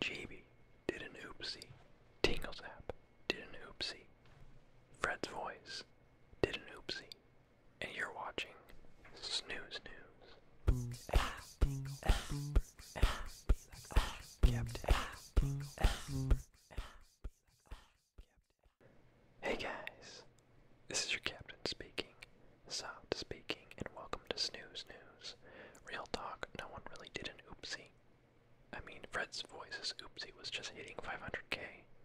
JB did an oopsie. Tinglezap did an oopsie. Fred's voice did an oopsie. And you're watching Snooze News. Hey guys, this is your captain speaking, Soft speaking, and welcome to Snooze News, Real talk, no one really did an oopsie. I mean, Fred's voice's oopsie was just hitting 500k.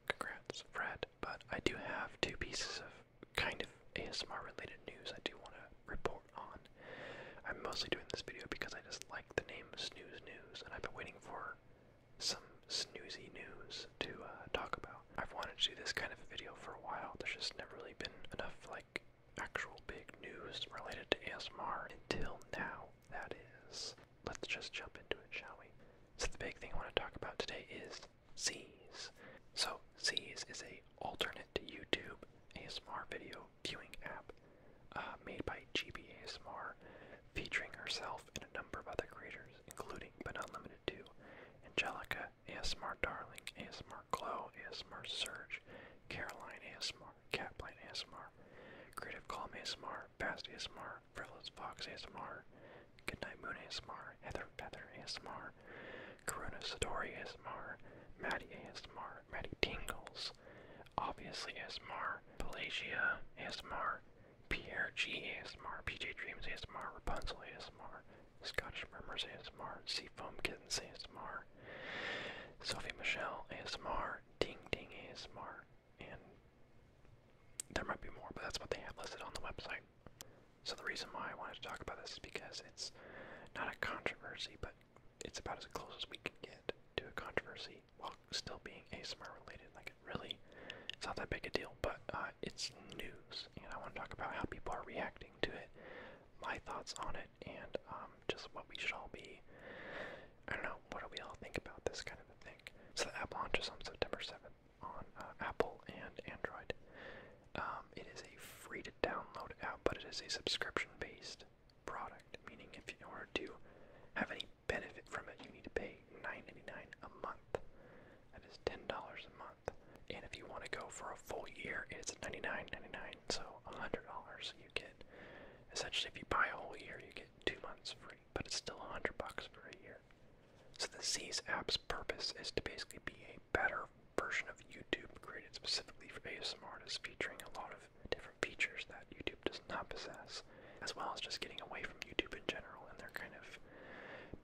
Congrats, Fred. But I do have two pieces of kind of ASMR related news I do want to report on. I'm mostly doing this video because I just like the name Snooze News, and I've been waiting for some snoozy news to uh, talk about. I've wanted to do this kind of video for a while. There's just never really been enough, like, actual big news related to ASMR until now, that is. Let's just jump into it, shall we? So the big thing I want to talk about today is Z's. So Z's is a alternate YouTube ASMR video viewing app uh, made by GB ASMR, featuring herself and a number of other creators, including but not limited to Angelica, ASMR Darling, ASMR Glow, ASMR Surge, Caroline ASMR, Catplane ASMR, Creative Calm ASMR, Fast ASMR, Frivolous Fox ASMR, Goodnight Moon ASMR, Heather Feather ASMR, Karuna Satori ASMR, Maddie ASMR, Maddie Tingles, Obviously ASMR, Pelagia ASMR, Pierre G ASMR, PJ Dreams ASMR, Rapunzel ASMR, Scottish Murmurs ASMR, Seafoam Kittens ASMR, Sophie Michelle ASMR, Ding Ding ASMR, and there might be more, but that's what they have listed on the website. So the reason why I wanted to talk about this is because it's not a controversy, but it's about as close as we can get to a controversy while still being ASMR related. Like it really, it's not that big a deal, but uh, it's news, and I want to talk about how people are reacting to it, my thoughts on it and um, just what we should all be. I don't know, what do we all think about this kind of a thing? So the app launches on September 7th on uh, Apple and Android. Um, it is a free to download app, but it is a subscription based product, meaning if you order to have any benefit from it, you need to pay $9.99 a month. That is $10 a month. And if you want to go for a full year, it's $99.99, so $100 you get. Essentially, if you buy a whole year, you get two months free, but it's still 100 bucks for a year. So the Z's app's purpose is to basically be a better version of YouTube created specifically for ASMR artists, featuring a lot of different features that YouTube does not possess, as well as just getting away from YouTube in general and their kind of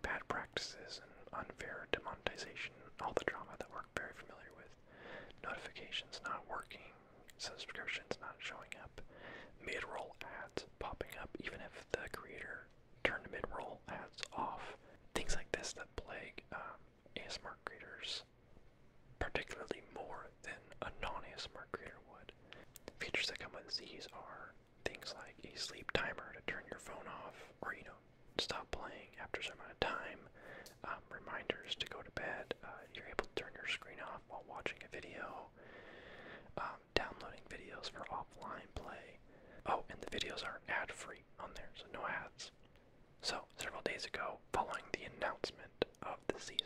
bad practices unfair demonetization, all the drama that we're very familiar with. Notifications not working, subscriptions not showing up, mid roll ads popping up, even if the creator turned mid roll ads off. Things like this that plague um, ASMR creators, particularly more than a non ASMR creator would. Features that come with these are things like a sleep timer to turn your phone off, or you know, stop playing after some amount of time, um, reminders to go to bed, uh, you're able to turn your screen off while watching a video, um, downloading videos for offline play. Oh, and the videos are ad free on there, so no ads. So, several days ago, following the announcement of the C's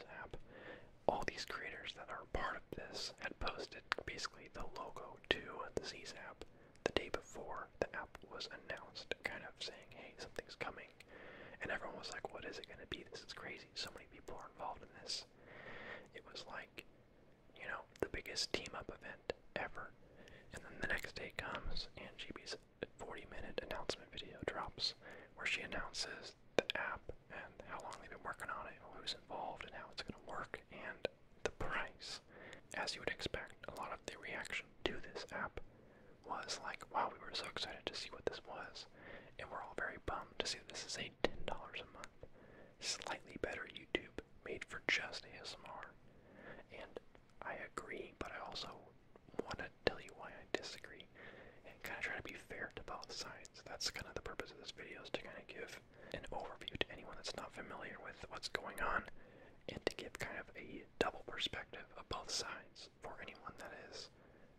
all these creators that are part of this had posted basically the logo to the C's the day before the app was announced, kind of saying, hey, something's coming. And everyone was like, what is it going to be? This is crazy. So many people are involved in this. It was like, you know, the biggest team up event ever. And then the next day comes, and GB's 40 minute announcement video drops where she announces the app and how long they've been working on it, who's involved, and how it's going to work. And the price. As you would expect, a lot of the reaction to this app was like, wow, we were so excited to see what this was, and we're all very bummed to see this is a $10 a month, slightly better YouTube made for just ASMR. And I agree, but I also want to tell you why I disagree and kind of try to be fair to both sides. That's kind of the purpose of this video is to kind of give give an overview to anyone that's not familiar with what's going on and to give kind of a double perspective of both sides for anyone that is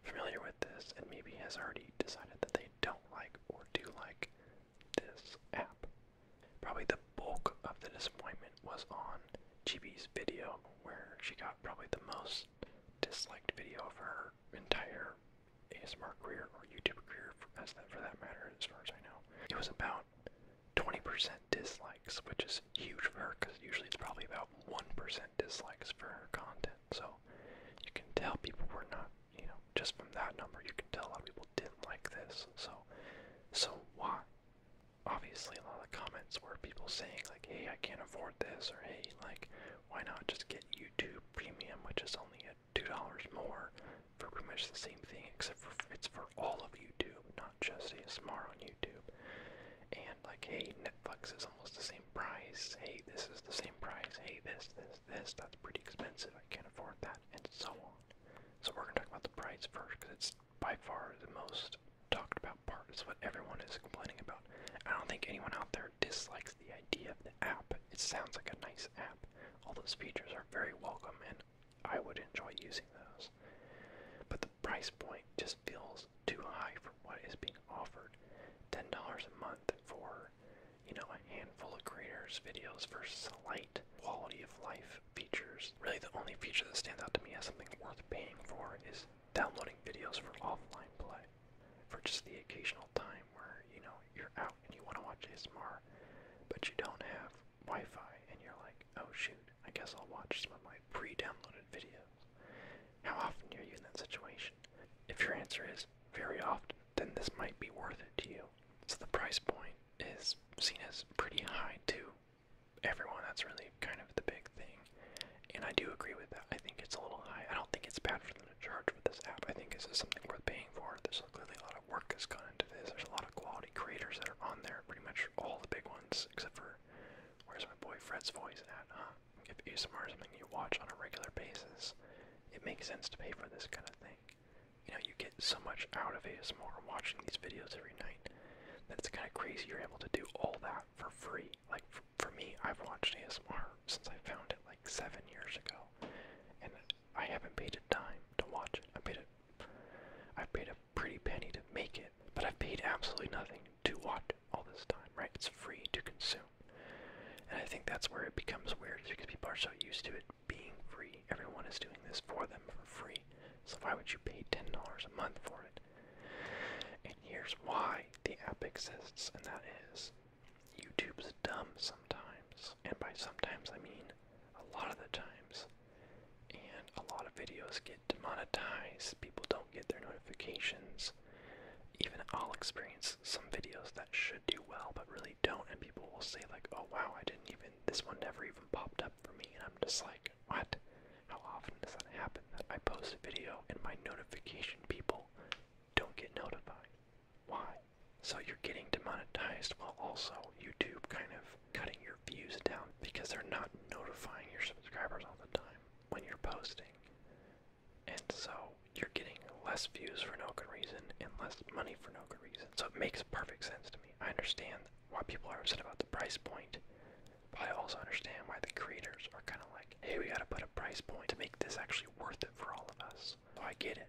familiar with this and maybe has already decided that they don't like or do like this app. Probably the bulk of the disappointment was on GB's video, where she got probably the most disliked video of her entire ASMR career or YouTube career, as that for that matter, as far as I know. It was about 20% dislikes, which is huge for her because usually it's probably about 1% dislikes for her content. So you can tell people were not, you know, just from that number, you can tell a lot of people didn't like this. So, so why? Obviously, a lot of comments were people saying, like, hey, I can't afford this, or hey, like, why not just get YouTube Premium, which is only a." two dollars more for pretty much the same thing, except for it's for all of YouTube, not just ASMR on YouTube. And like, hey, Netflix is almost the same price. Hey, this is the same price. Hey, this, this, this. That's pretty expensive. I can't afford that, and so on. So we're gonna talk about the price first, because it's by far the most talked about part. It's what everyone is complaining about. I don't think anyone out there dislikes the idea of the app it sounds like a nice app. All those features are very welcome and I would enjoy using those. But the price point just feels too high for what is being offered. $10 a month for, you know, a handful of creators' videos for slight quality of life features. Really, the only feature that stands out to me as something worth paying for is downloading videos for offline play for just the occasional time where you know you're out and you want to watch ASMR, but you don't have Wi-Fi, and you're like, oh shoot, I guess I'll watch some of my pre-downloaded videos. How often are you in that situation? If your answer is very often, then this might be worth it to you. So the price point is seen as pretty high to everyone. That's really kind of the big thing, and I do agree with that. I think it's a little high. I don't think it's bad for them charged with this app. I think this is something worth paying for. There's clearly a lot of work has gone into this. There's a lot of quality creators that are on there. Pretty much all the big ones, except for where's my boy Fred's voice at? Huh? If ASMR is something you watch on a regular basis, it makes sense to pay for this kind of thing. You know, you get so much out of ASMR watching these videos every night that it's kind of crazy you're able to do all that for free. Like for, for me, I've watched ASMR since I found it like seven years ago, and I haven't paid a dime to watch it. I paid a, I've paid a pretty penny to make it, but I've paid absolutely nothing to watch all this time, right? It's free to consume. And I think that's where it becomes weird because people are so used to it being free. Everyone is doing this for them for free. So why would you pay $10 a month for it? And here's why the app exists, and that is YouTube's dumb sometimes, and by sometimes I mean a lot of the times. And a lot of videos get demonetized, people don't get their notifications. Even I'll experience some videos that should do well but really don't, and people will say, like, oh wow, I didn't even, this one never even popped up for me, and I'm just like, what? How often does that happen that I post a video and my notification people don't get notified? Why? So you're getting demonetized while also YouTube kind of cutting your views down because they're not notifying your subscribers all the time when you're posting. And so you're getting less views for no good reason and less money for no good reason. So it makes perfect sense to me. I understand why people are upset about the price point, but I also understand why the creators are kind of like, hey, we gotta put a price point to make this actually worth it for all of us. I get it.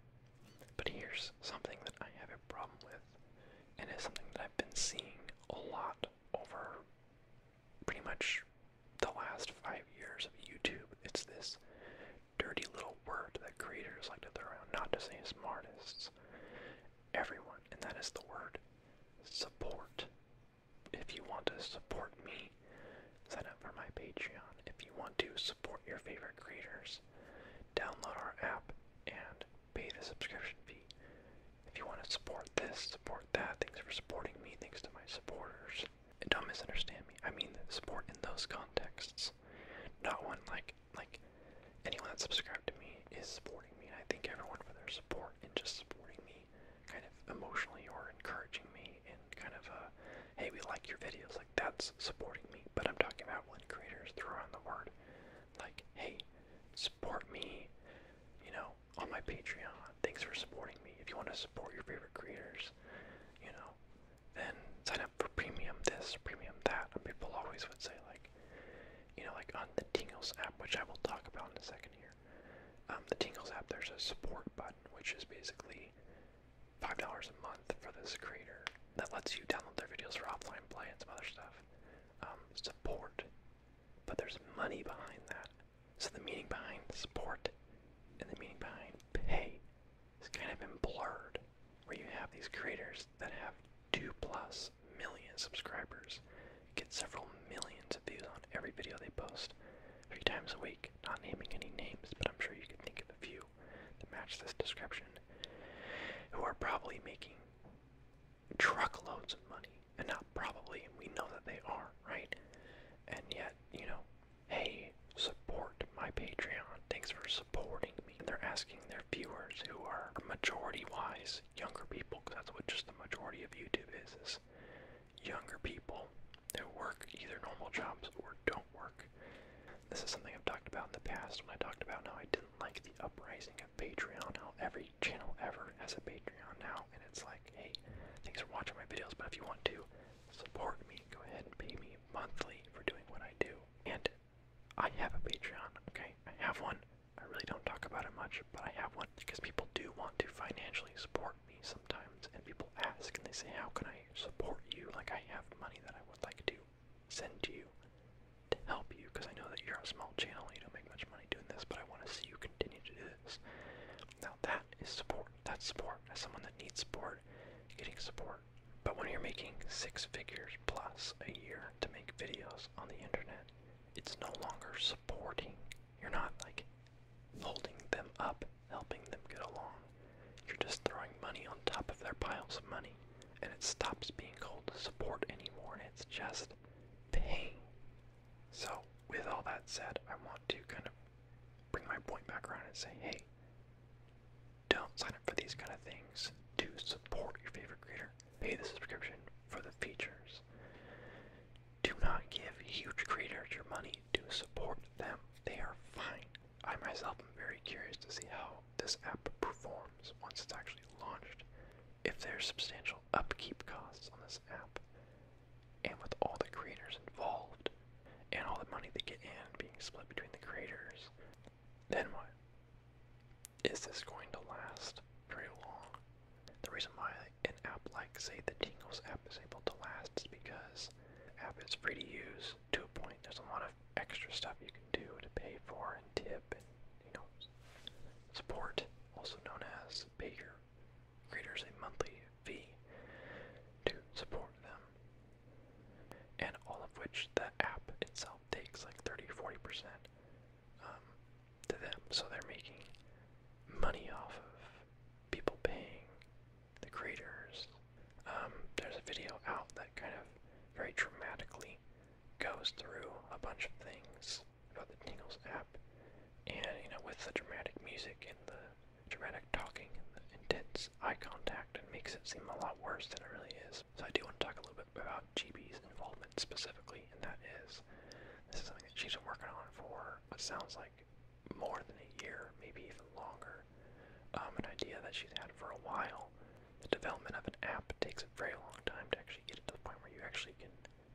But here's something that I have a problem with, and it's something that I've been seeing a lot over pretty much the last five years of YouTube. It's this dirty little word that creators like to throw around, not to say smartest, everyone, and that is the word support. If you want to support me, Sign up for my Patreon if you want to support your favorite creators. Download our app and pay the subscription fee. If you want to support this, support that. Thanks for supporting me. Thanks to my supporters. And don't misunderstand me. I mean support in those contexts. Not one like like anyone that subscribed to me is supporting me. I thank everyone for their support and just supporting me kind of emotionally or encouraging me and kind of uh, hey we like your videos like that's supporting me but i'm talking about when creators throw on the word like hey support me you know on my patreon thanks for supporting me if you want to support your favorite creators you know then sign up for premium this premium that people always would say like you know like on the tingles app which i will talk about in a second here um, the tingles app there's a support button which is basically five dollars a month for this creator that lets you download their videos for offline play and some other stuff. Um, support, but there's money behind that. So the meaning behind support and the meaning behind pay is kind of been blurred, where you have these creators that have two plus million subscribers, get several millions of views on every video they post, three times a week not naming any names, but I'm sure you can think of a few that match this description, who are probably making truckloads of money. And not probably, we know that they are, right? And yet, you know, hey, support my Patreon. Thanks for supporting me. And they're asking their viewers who are majority wise younger people, because that's what just the majority of YouTube is, is younger people that work either normal jobs or don't work. This is something I've talked about in the past when I talked about how I didn't like the uprising of Patreon, how every channel ever has a Patreon now, and it's like, hey, thanks for watching my videos, but if you want to support me, go ahead and pay me monthly for doing what I do. And I have a Patreon, okay? I have one. I really don't talk about it much, but I have one because people do want to financially support support me sometimes, and people ask and they say, How can I support you? Like, I have money that I would like to send to you to help you because I know that you're a small channel and you don't make much money doing this, but I want to see you continue to do this. Now, that is support. That's support. As someone that needs support, getting support. But when you're making six figures plus a year to make videos on the internet, it's no longer supporting. You're not like holding them up, helping them get along. You're just throwing money on top of their piles of money, and it stops being called support anymore, and it's just pain. So, with all that said, I want to kind of bring my point back around and say, hey, don't sign up for these kind of things to support your favorite creator. Pay the subscription for the features. Do not give huge creators your money to support them. They are fine. I myself am very curious to see how this app performs once it's actually launched, if there's substantial upkeep costs on this app, and with all the creators involved, and all the money they get in being split between the creators, then what? Is this going to last very long? The reason why an app like, say, the Tingles app is able to last is because the app is free to use to a point. There's a lot of extra stuff you can do to pay for and tip and, you know, support, also known as pay your creators a monthly fee to support them. And all of which the app itself takes like 30 40% um, to them. So they're making money off of people paying the creators. Um, there's a video out that kind of very dramatically goes through a bunch of things about the Tingles app, and you know, with the dramatic music and the dramatic talking and the intense eye contact, it makes it seem a lot worse than it really is. So I do want to talk a little bit about GB's involvement specifically, and that is this is something that she's been working on for what sounds like more than a year, maybe even longer. Um, an idea that she's had for a while. The development of an app takes a very long time to actually get it to the point where you actually can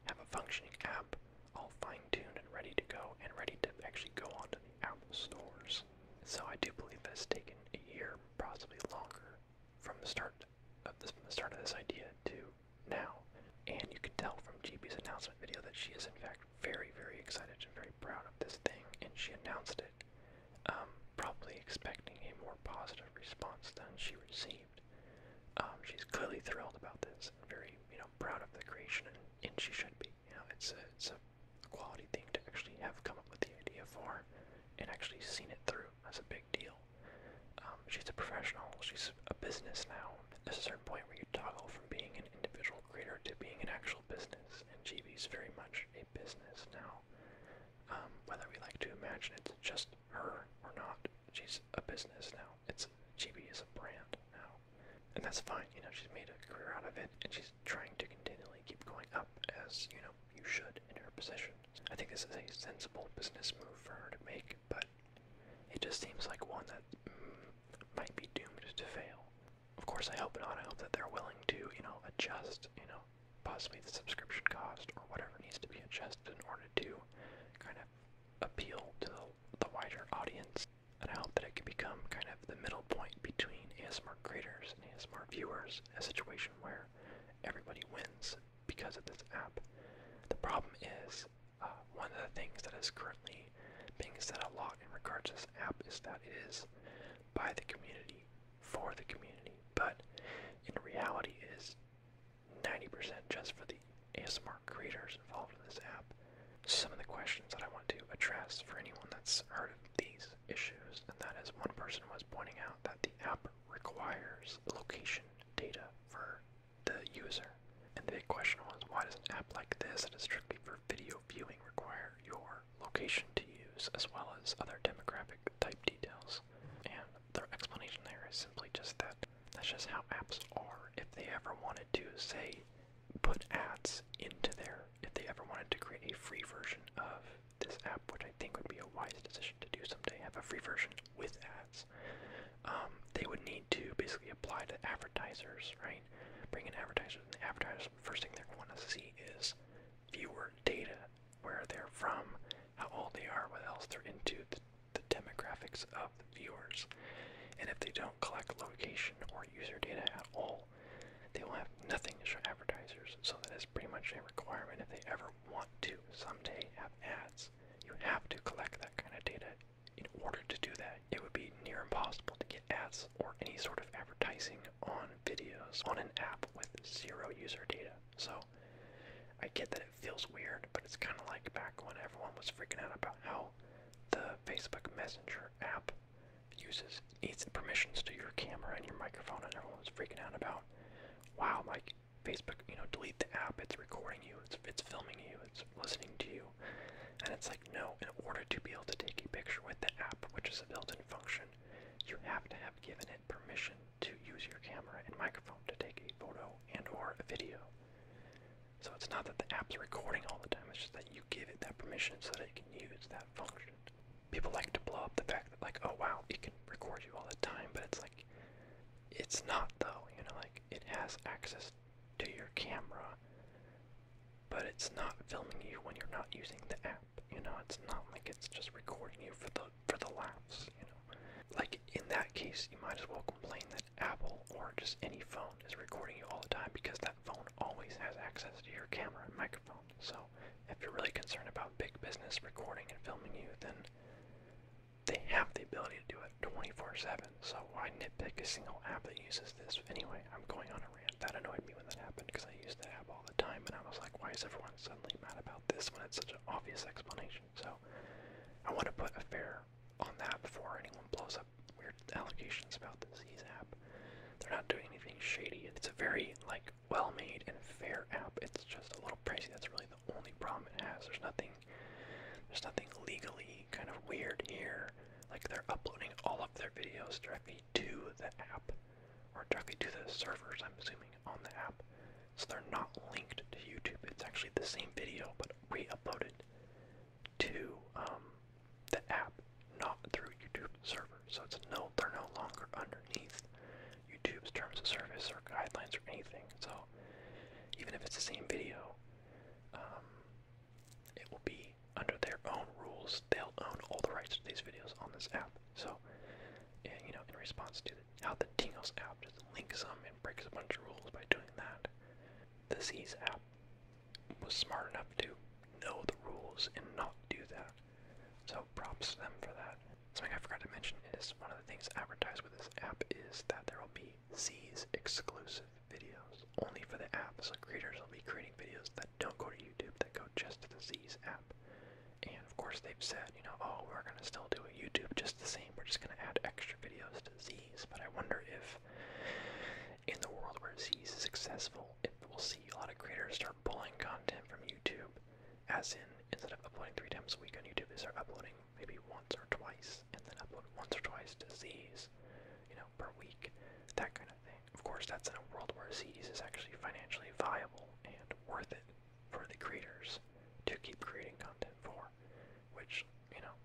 have a functioning app all fine-tuned and ready to go and ready to actually go onto the Apple stores. So I do believe that it's taken a year, possibly longer, from the start of from the start of this idea to now. And you can tell from GB's announcement video that she is in fact very, very excited and very proud of this thing, and she announced it, um, probably expecting a more positive response than she received. Um, she's clearly thrilled about this, and very, you know, proud of the creation, and, she should be. You know, it's a, it's a quality thing to actually have come up with the idea for, and actually seen it through. That's a big deal. Um, she's a professional. She's a business now, there's a certain point where you toggle from being an individual creator to being an actual business, and GB is very much a business now. Um, whether we like to imagine it's just her or not, she's a business now. It's GB is a brand now, and that's fine. You know, she's made a career out of it, and she's trying to continually keep going up, as you know, you should in her position. I think this is a sensible business move for her to make, but it just seems like one that mm, might be doomed to fail. Of course, I hope not. I hope that they're willing to, you know, adjust, you know, possibly the subscription cost or whatever needs to be adjusted in order to kind of appeal to the wider audience. And I hope that it can become kind of the middle point between ASMR creators and ASMR viewers, a situation where everybody wins because of this app. The problem is uh, one of the things that is currently being said a lot in regards to this app is that it is by the community for the community, but in reality, it is 90% just for the ASMR creators involved in this app. Some of the questions that I want to address for anyone that's heard of these issues, and that is one person was pointing out that the app requires location data for the user. And the big question was, why does an app like this that is strictly for video viewing require your location to use as well as other demographic type details? And their explanation there is simply just that that's just how apps are. If they ever wanted to, say, put ads into there, if they ever wanted to create a free version of this app, which I think would be a wise decision to do someday, have a free version with ads. Um, they would need to basically apply to advertisers, right? Bring in advertisers, and the advertisers, first thing they want to see is viewer data, where they're from, how old they are, what else they're into, the, demographics of the viewers. And if they don't collect location or user data at all, they will have nothing to show advertisers, so that is pretty much a requirement if they ever want to someday have ads, you have to collect that kind of data. In order to do that, it would be near impossible to get ads or any sort of advertising on videos on an app with zero user data. So I get that it feels weird, but it's kind of like back when everyone was freaking out about how the Facebook Messenger app uses needs permissions to your camera and your microphone, and everyone was freaking out about, wow, like Facebook, you know, delete the app. It's recording you. It's it's filming you. It's listening to you. And it's like no. In order to be able to take a picture with the app, which is a built-in function, you have to have given it permission to use your camera and microphone to take a photo and or a video. So it's not that the app's recording all the time. It's just that you give it that permission so that it can use that function. People like to blow up the fact that like, oh wow, it can record you all the time, but it's like it's not though, you know, like it has access to your camera, but it's not filming you when you're not using the app. You know, it's not like it's just recording you for the for the laughs, you know. Like in that case, you might as well complain that Apple or just any phone is recording you all the time because that phone always has access to your camera and microphone. So, if you're really concerned about big business recording and filming you, then they have the ability to do it 24/7. So why nitpick a single app that uses this? Anyway, I'm going on a rant. That annoyed me when that happened because I used that app all the time, and I was like, why is everyone suddenly mad about this when it's such an obvious explanation? So I want to put a fair on that before anyone blows up weird allegations about the Z's app. They're not doing anything shady. It's a very like well made and fair app. It's just a little pricey. That's really the only problem it has. There's nothing there's nothing legally kind of weird here. Like they're uploading all of their videos directly to the app or directly to the servers, I'm assuming, on the app. So they're not linked to YouTube. It's actually the same video but re-uploaded to um, the app, not through YouTube server. So it's no they're no longer underneath YouTube's terms of service or guidelines or anything. So even if it's the same video, um, it will be under their own rules. They'll own all the rights to these videos on this app. So, you know, in response to how the Tingles app just links them and breaks a bunch of rules by doing that, the Z's app was smart enough to know the rules and not do that. So props to them for that. Something I forgot to mention is one of the things advertised with this app is that there will be Z's exclusive videos only for the app. So creators will be creating videos that don't go to YouTube, that go just to the Z's app. And of course they've said, you know, oh, we're gonna still do YouTube just the same. We're just gonna add extra videos to Z's. But I wonder if in the world where Z's is successful, if we'll see a lot of creators start pulling content from YouTube as in instead of uploading three times a week on YouTube, they start uploading maybe once or twice, and then upload once or twice to Z's, you know, per week, that kind of thing. Of course, that's in a world where CDs is actually financially viable and worth it for the creators to keep creating content for, which, you know,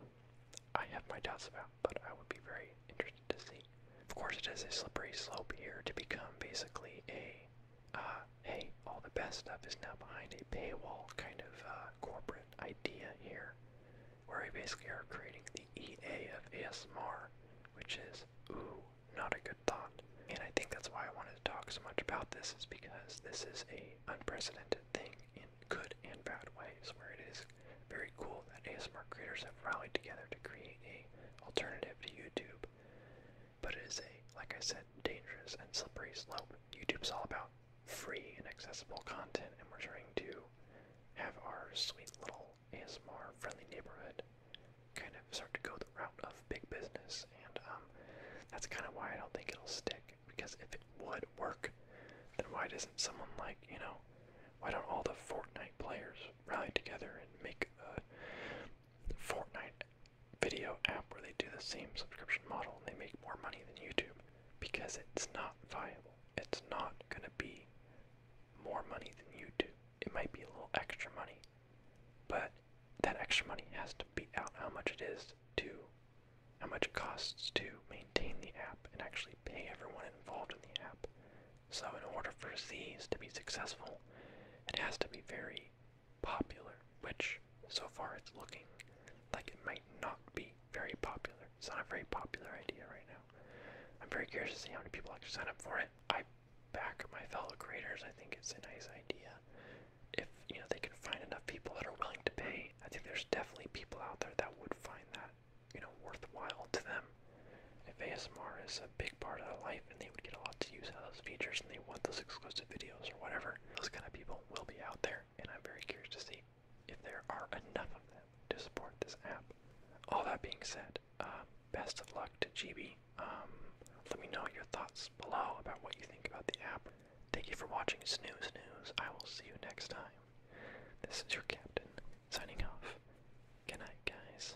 I have my doubts about, but I would be very interested to see. Of course, it is a slippery slope here to become basically a uh, hey, all the best stuff is now behind a paywall kind of uh, corporate idea here, where we basically are creating the EA of ASMR, which is, ooh, not a good thought. And I think that's why I wanted to talk so much about this, is because this is a unprecedented thing in good and bad ways, where it is very cool that ASMR creators have rallied together to create a alternative to YouTube but it is a, like I said, dangerous and slippery slope. YouTube's all about free and accessible content, and we're trying to have our sweet little ASMR friendly neighborhood kind of start to go the route of big business, and um, that's kind of why I don't think it'll stick. Because if it would work, then why doesn't someone like, you know, why don't all the Fortnite players rally together and make a Fortnite video app where they do the same subscription model and they make more money than YouTube because it's not viable. It's not going to be more money than YouTube. It might be a little extra money, but that extra money has to be out how much it is to, how much it costs to maintain the app and actually pay everyone involved in the app. So, in order for these to be successful, it has to be very popular, which so far it's looking like it might not be very popular. It's not a very popular idea right now. I'm very curious to see how many people actually sign up for it. I back my fellow creators. I think it's a nice idea. If you know they can find enough people that are willing to pay, I think there's definitely people out there that would find that you know worthwhile to them. If ASMR is a big part of their life and they would get a lot to use out of those features and they want those exclusive videos or whatever, those kind of people will be out there, and I'm very curious to see if there are enough of them to support this app. All that being said, um, best of luck to GB. Um, let me know your thoughts below about what you think about the app. Thank you for watching Snooze News. I will see you next time. This is your captain signing off. Good night, guys.